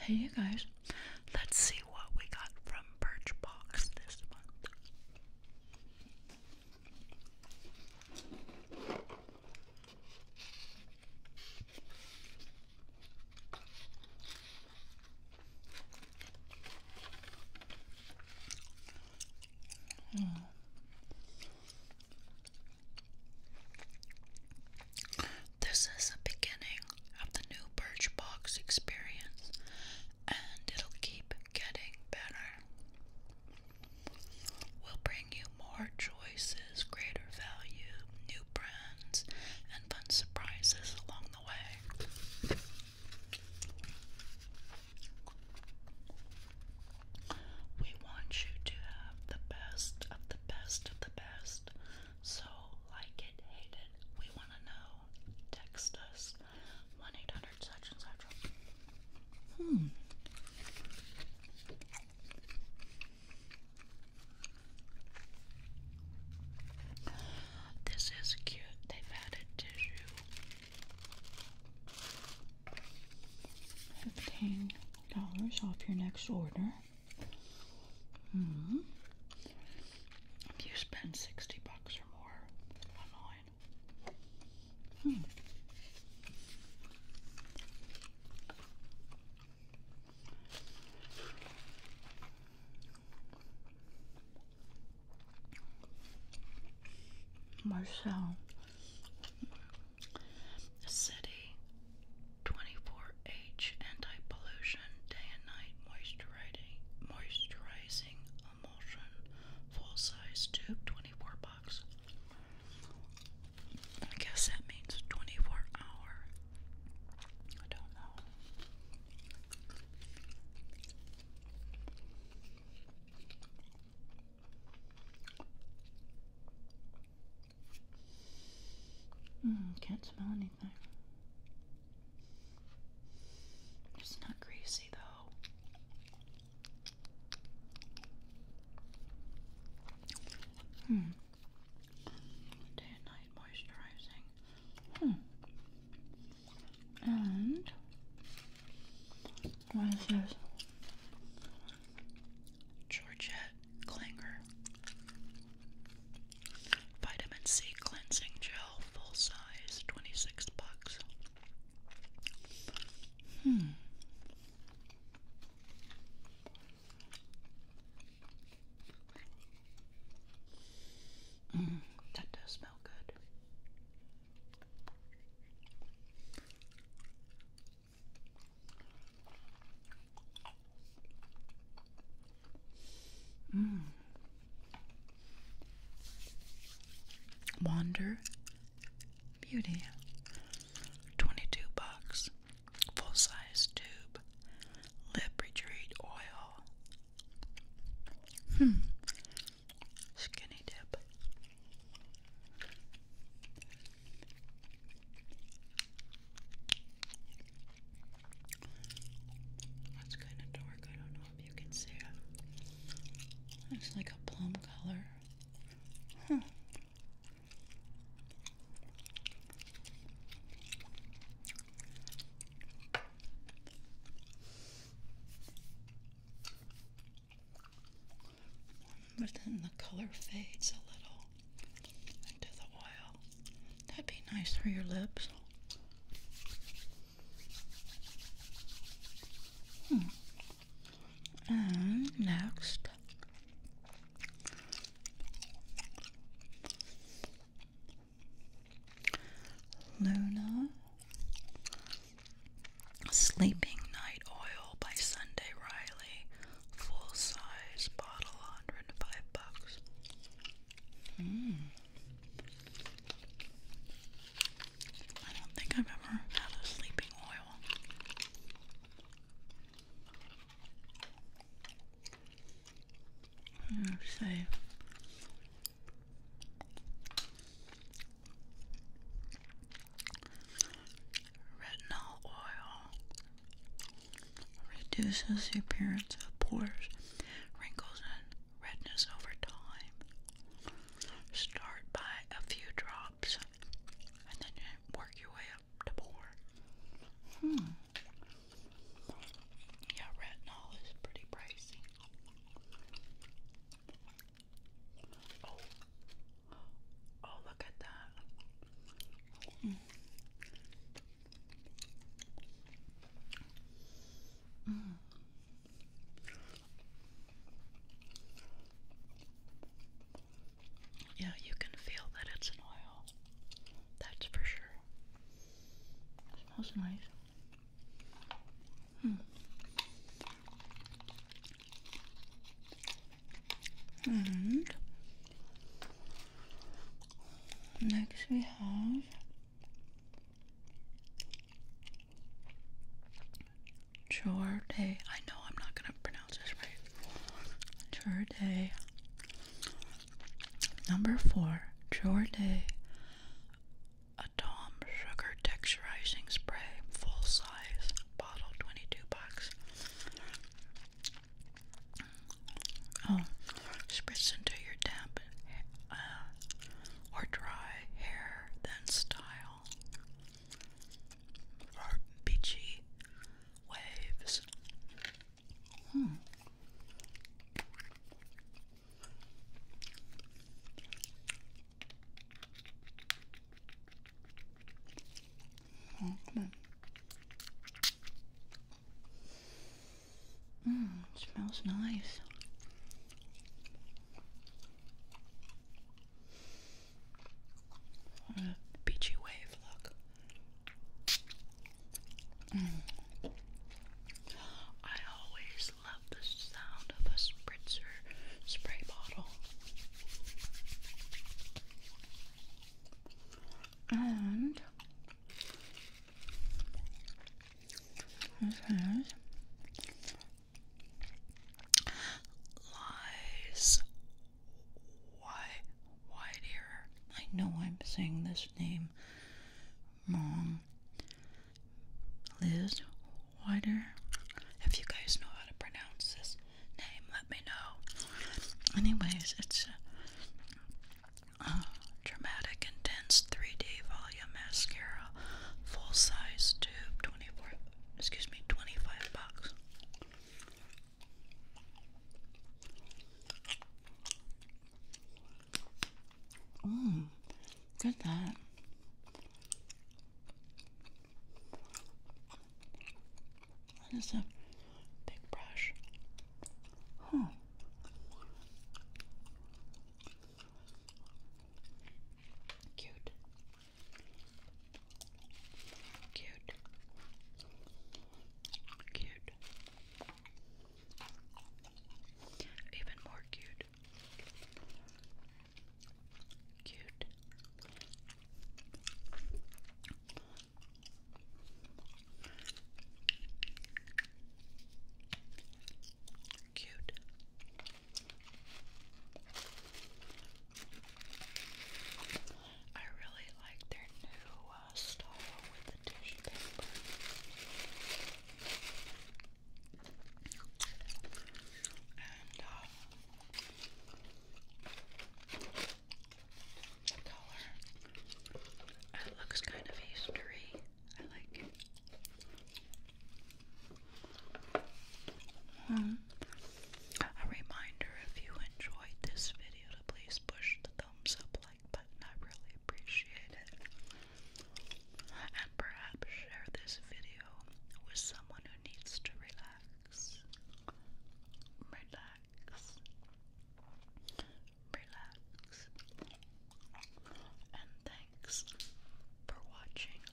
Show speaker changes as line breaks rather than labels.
Hey, you guys, let's see what we got from Birchbox this month. This is the beginning of the new Birchbox experience, and it'll keep getting better. We'll bring you more choices, greater value, new brands, and fun surprises along the way. We want you to have the best of the best of the best. So, like it, hate it, we want to know. Text us 1 800 such and such. Hmm. This is cute. They've added tissue. Fifteen dollars off your next order. Hmm. If you spend sixty bucks or more online. Hmm. Marcel City 24H anti pollution day and night moisturizing moisturizing emulsion full size tube 24 bucks. I guess that means 24 hour. I don't know. Mm, can't smell anything. It's not greasy though. Hmm. Day and night moisturizing. Hmm. And what is this? Georgette Klinger Vitamin C Cleansing Gel, full size, 26 bucks. Hmm. Mm, that does smell good. Mm. Wander Beauty. 22 bucks. Full size tube. Lip retreat oil. Hmm skinny dip. That's kind of dark. I don't know if you can see it. It's like a plum color. Huh. But then the color fades a little into the oil. That'd be nice for your lips. Hmm. And next, Luna Sleeping Night Oil by Sunday Riley. Full size bottle, 105 bucks. Mm. I don't think I've ever had a sleeping oil. Hmm, Say Retinol oil reduces the appearance of pores, wrinkles, and redness over time. Start by a few drops and then work your way up to more. Hmm. Yeah, retinol is pretty pricey. Oh, oh, look at that. Mm. Yeah, you can feel that it's an oil. That's for sure. smells nice. And hmm. next we have jour Chorday. I know I'm not gonna pronounce this right. Jour Chorday Number four, Jorday Atom Sugar Texturizing Spray, full size, bottle, 22 bucks. Oh, spritz into your damp uh, or dry hair, then style. Or beachy waves. Hmm. Oh, come Mmm, smells nice. A beachy wave look. Mm. I always love the sound of a spritzer spray bottle. And lies. Why wide I know I'm saying this name wrong. Liz Wider. If you guys know how to pronounce this name, let me know. Anyways, it's a dramatic, intense 3D volume mascara, full size tube, 24. Excuse me, 25 bucks. Mm, get that. That is a big brush. Huh. Cute. Cute. Cute cute. Even more cute. Cute. Cute. I really like their new uh, with the tissue paper. Uh, it looks kind of Eastery. I like a reminder if you enjoyed this video to please push the thumbs up like button, I really appreciate it. And perhaps share this video with someone who needs to relax. Relax. Relax. And thanks for watching.